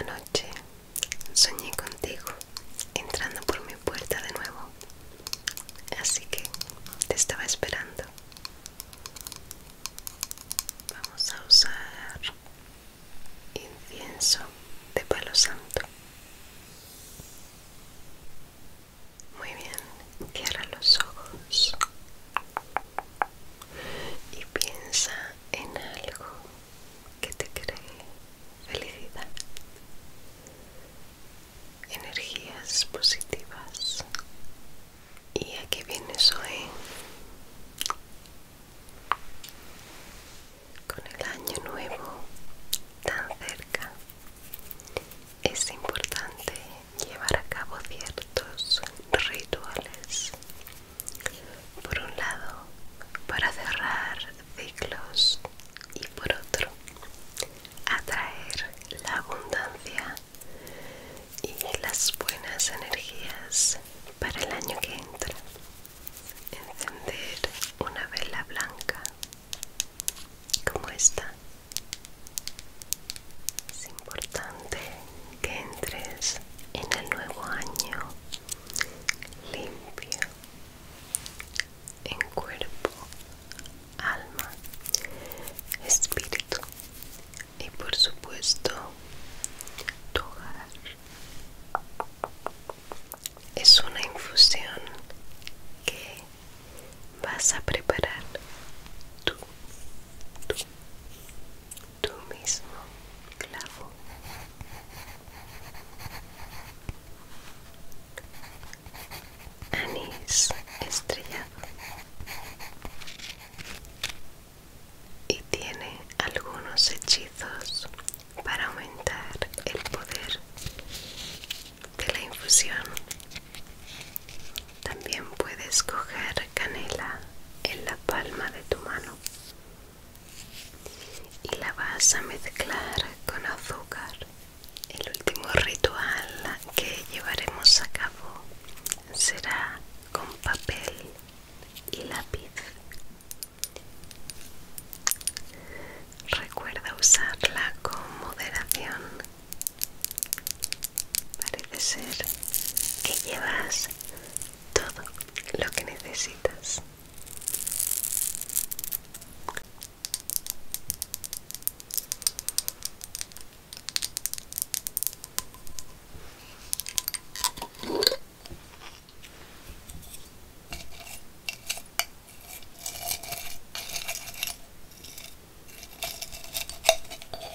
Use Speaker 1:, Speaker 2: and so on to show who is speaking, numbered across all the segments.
Speaker 1: Anoche soñé contigo entrando por mi puerta de nuevo, así que te estaba esperando. Vamos a usar incienso de palo santo. Muy bien, cierra los ojos y piensa en algo que te cree felicidad, energías positivas. ¿Y aquí vienes hoy? Con el año nuevo tan cerca, es importante llevar a cabo ciertos rituales por un lado para cerrar ciclos y por otro atraer la abundancia y las buenas energías para el año que entra encender una vela blanca como esta es importante que entres en el nuevo año limpio en cuerpo, alma, espíritu y por supuesto tu hogar. Es una infusión que vas a preparar tú, tú, tu mismo clavo. Anís estrellado y tiene algunos hechizos para aumentar el poder de la infusión. También puedes coger canela en la palma de tu mano y la vas a mezclar con azúcar. El último ritual que llevaremos a cabo será con papel y lápiz. Recuerda usarla con moderación. Parece ser que llevas todo lo que necesitas.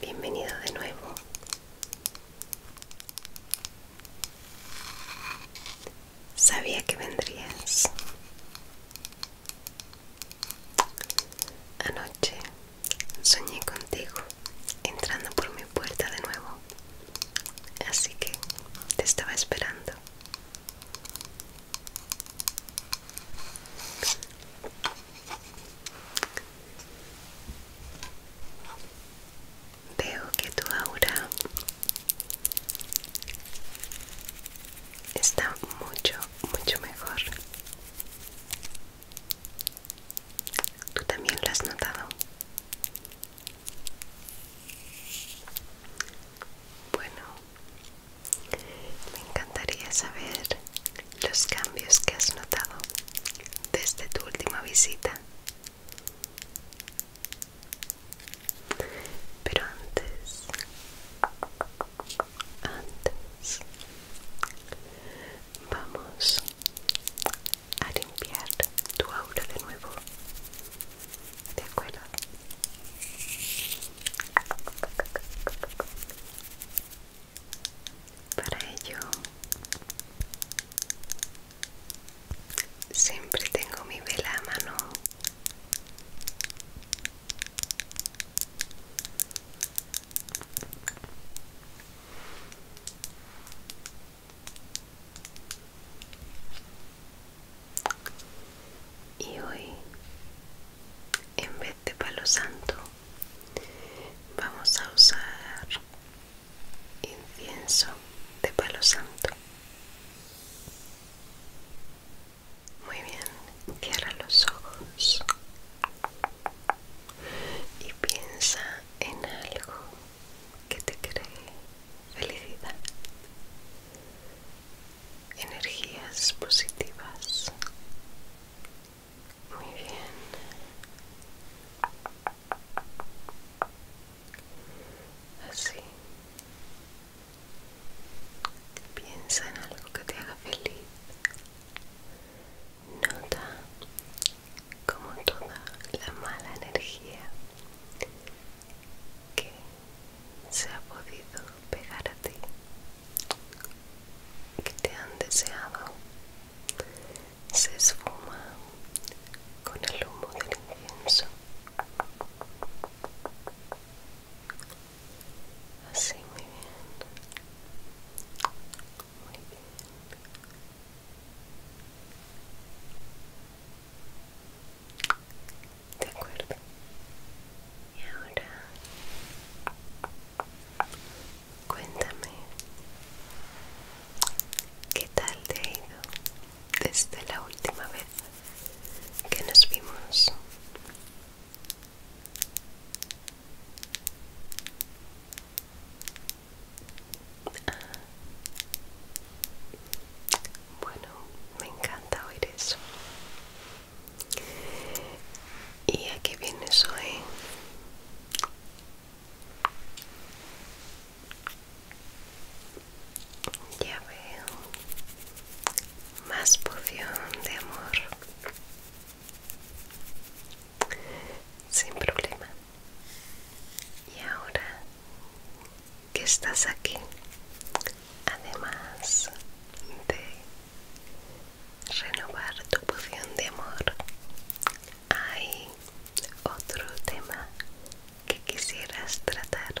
Speaker 1: Bienvenido de nuevo. Sabía que vendrías. Anoche soñé contigo entrando por mi puerta de nuevo. Así que te estaba esperando. Veo que tu aura está mucho, mucho mejor. ¿Tú también lo has notado? Bueno, me encantaría saber los cambios que has notado desde tu última visita. Pero antes, antes, vamos a limpiar tu aura de nuevo. ¿De acuerdo? Para ello, siempre tengo mi vela a mano. Y hoy, en vez de palo santo, vamos a usar incienso de palo santo. Muy bien, cierra los ojos y piensa en algo que te cree felicidad, energías positivas. Muy bien. Así. Piensa en algo que te haga feliz. Nota como toda la mala energía que se ha podido pegar a ti, que te han deseado, se esfuma con el humo del incienso. Así muy bien. Muy bien. De acuerdo. Y ahora cuéntame qué tal te ha ido desde la última vez que nos vimos. Bueno, me encanta oír eso. ¿Y aquí qué vienes hoy? Ya veo. Más poción de amor sin problema y ahora que estás aquí además de renovar tu poción de amor hay otro tema que quisieras tratar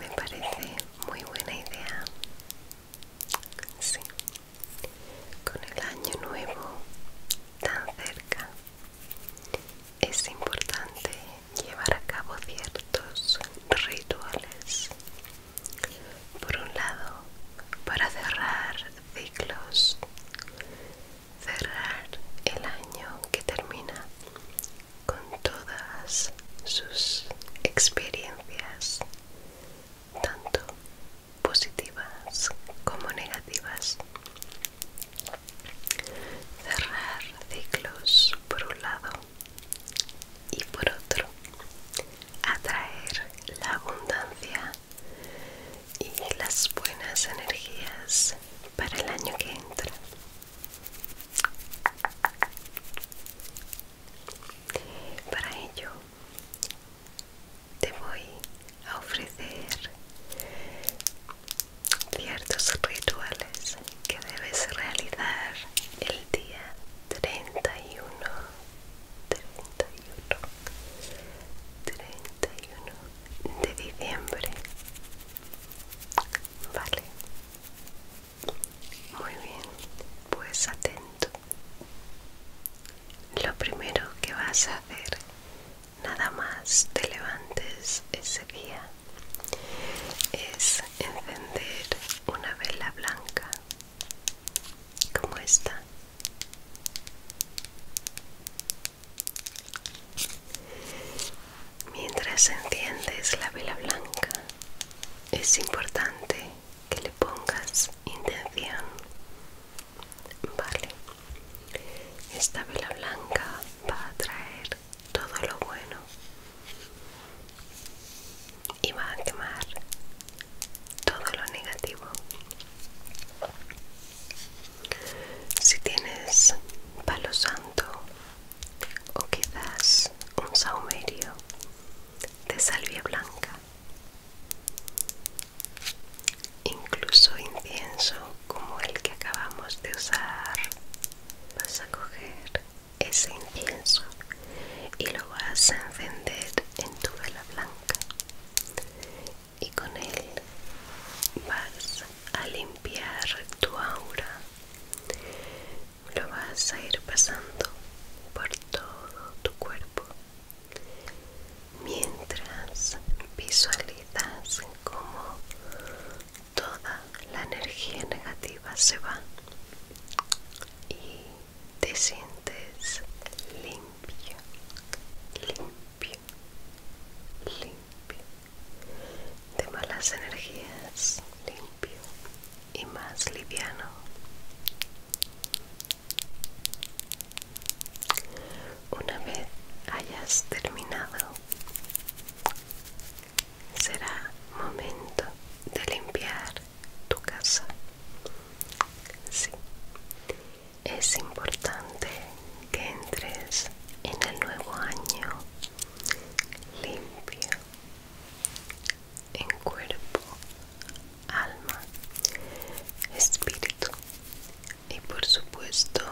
Speaker 1: me parece muy buena idea. Sí. Con el año nuevo tan cerca, es importante llevar a cabo ciertos rituales. Por un lado, para cerrar ciclos, cerrar el año que termina con todas sus experiencias, tanto positivas como negativas. Cerrar ciclos por un lado y por otro. Atraer la abundancia y las buenas energías para el año que entra. Para ello te voy a ofrecer ciertos rituales que debes realizar el día 31 31 31 de diciembre Vale. Muy bien, pues atento. Lo primero que vas a hacer, nada más te levantes ese día, es encender una vela blanca como esta. Mientras enciendes la vela blanca, es importante que le pongas intención. Vale, esta vela blanca va a traer todo lo bueno y va a quemar todo lo negativo. Si tienes palo santo o quizás un saumerio de salvia blanca, incluso incienso como el que acabamos de usar, vas a coger ese incienso y lo vas a encender en tu vela blanca y con él vas a limpiar tu aura. Lo vas a ir pasando por todo tu cuerpo mientras visualizas como toda la energía negativa se va y te sientes limpio, limpio limpio, de malas energías, limpio y más liviano. Una vez hayas terminado, será momento de limpiar tu casa es importante que entres en el nuevo año limpio en cuerpo, alma, espíritu y por supuesto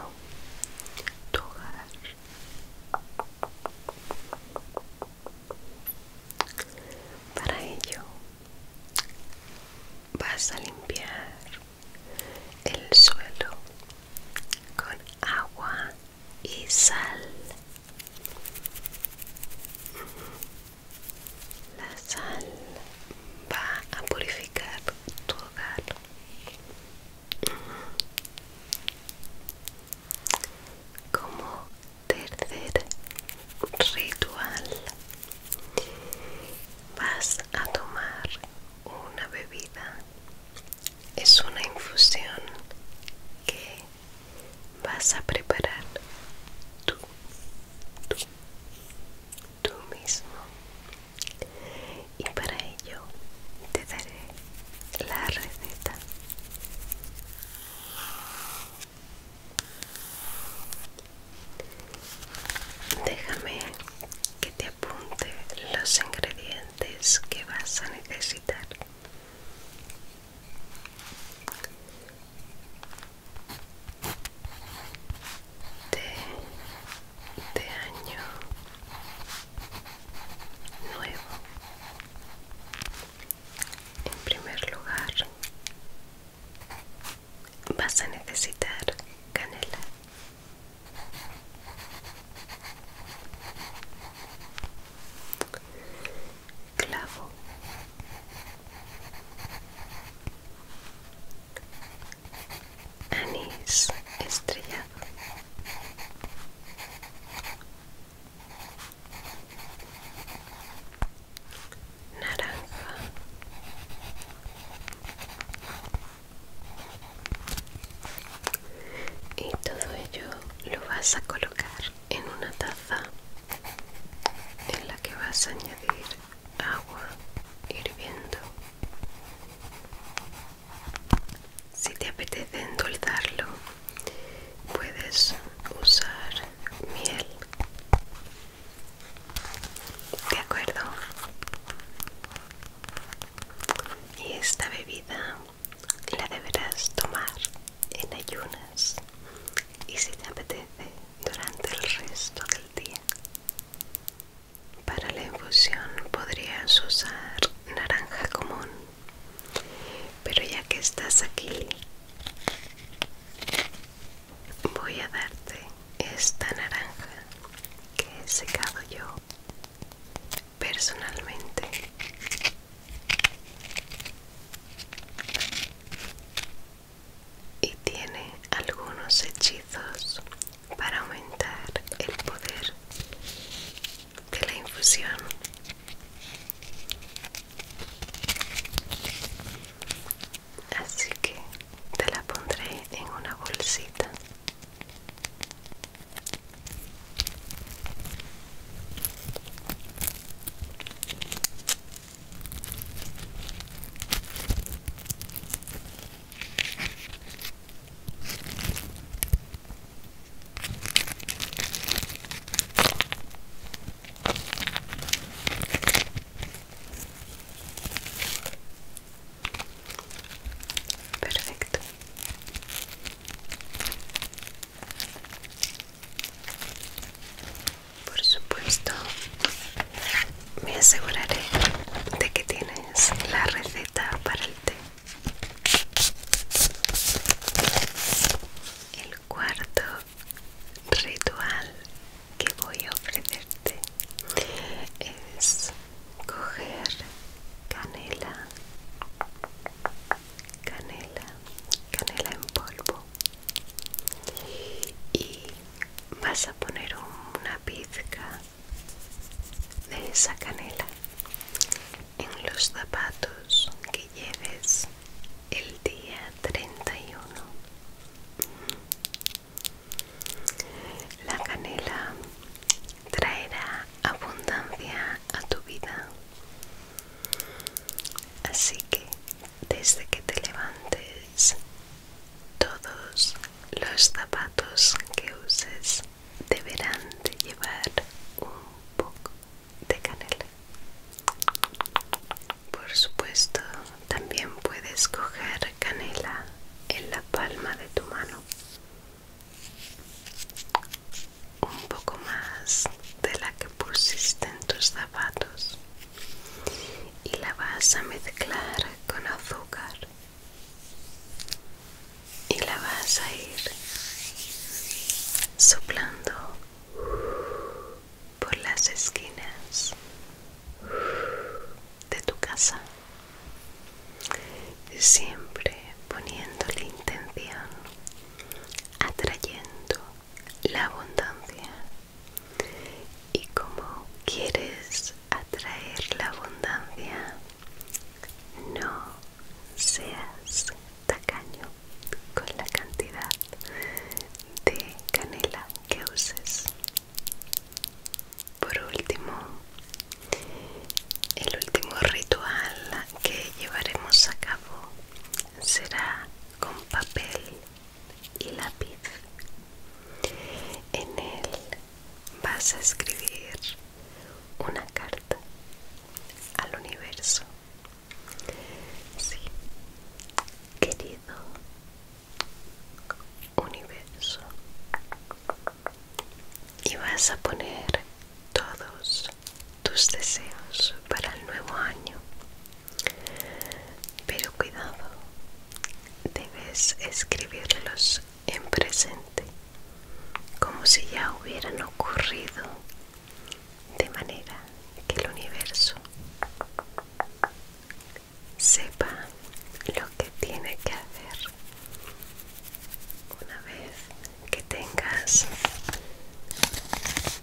Speaker 1: tu hogar. Para ello vas a limpiar el suelo con agua y sal. La sal va a purificar tu hogar. Como tercer ritual, vas a tomar una bebida es una infusión que vas a preparar tú, tú, tú mismo y para ello te daré la receta Déjame que te apunte los ingredientes que vas a necesitar. De, de año nuevo. En primer lugar, vas a necesitar canela clavo anís estrellado naranja y todo ello lo vas a colocar en una taza en la que vas a añadir agua hirviendo si te apetece endulzarlo puedes usar miel de acuerdo y esta bebida la deberás tomar en ayunas y si te apetece durante el resto del día para la infusión podrías usar naranja común pero ya que estás aquí voy a darte esta naranja que he secado yo personalmente y tiene algunos hechizos para aumentar el poder de la infusión así que te la pondré en una bolsita Perfecto. Por supuesto, me aseguraré de que tienes la receta para el té. El cuarto ritual que voy a ofrecerte es coger canela, canela, canela en polvo y vas a poner una pizca de esa canela en los zapatos que lleves el día 31 la canela traerá abundancia a tu vida así que desde que te levantes todos los zapatos que uses deberán de llevar un poco de canela por supuesto, también puedes coger canela en la palma de tu mano. Un poco más de la que pusiste en tus zapatos. Y la vas a mezclar con azúcar. Y la vas a ir soplando por las esquinas de tu casa siempre poniendo la intención atrayendo la abundancia y como quieres atraer la abundancia no seas tacaño con la cantidad de canela que uses. Por último, el último ritual que llevaremos a cabo será con papel y lápiz. En él vas a escribir una carta al universo Sí, querido universo. Y vas a poner todos tus deseos para el nuevo año. Pero cuidado, debes escribirlos en presente, como si ya hubieran ocurrido de manera que el universo sepa lo que tiene que hacer una vez que tengas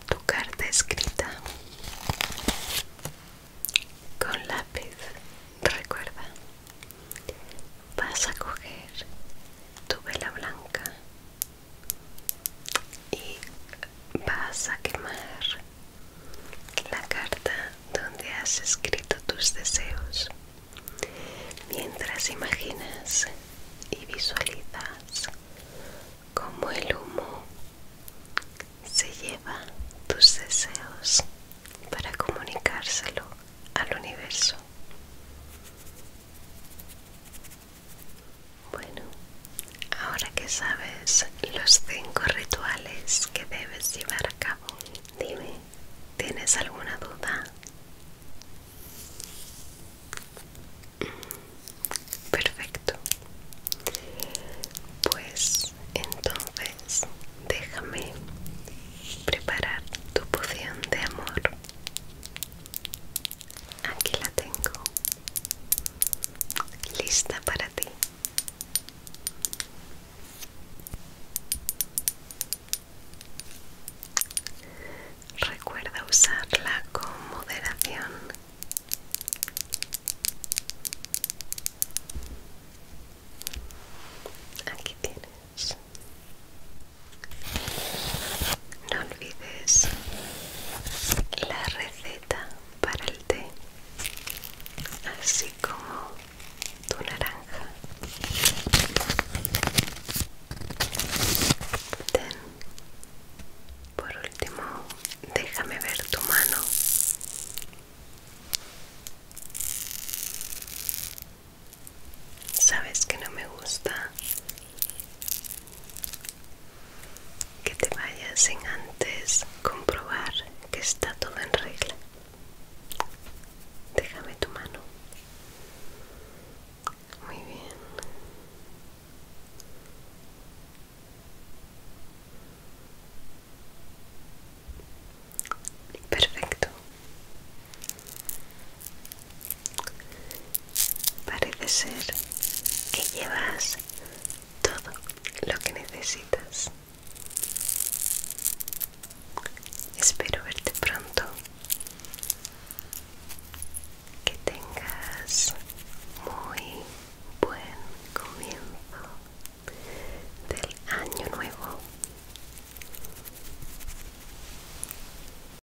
Speaker 1: tu carta escrita con lápiz recuerda vas a coger tu vela blanca y vas a quemar la carta donde has escrito tus deseos mientras imaginas y visualizas cómo el humo se lleva tus deseos para comunicárselo al universo. Bueno, ahora que sabes los cinco rituales que debes llevar a cabo, dime, ¿tienes alguna duda? Mm, perfecto. Pues entonces déjame preparar tu poción de amor. Aquí la tengo lista para ti. Recuerda usarla con moderación. Aquí tienes no olvides la receta para el té, así como tu naranja. Ten. Por último, déjame ver tu mano. Sabes que no me gusta que te vayas sin antes comprobar que está todo en regla. Déjame tu mano. Muy bien. Perfecto. Parece ser que llevas todo lo que necesitas. Espero verte pronto. Que tengas muy buen comienzo del año nuevo.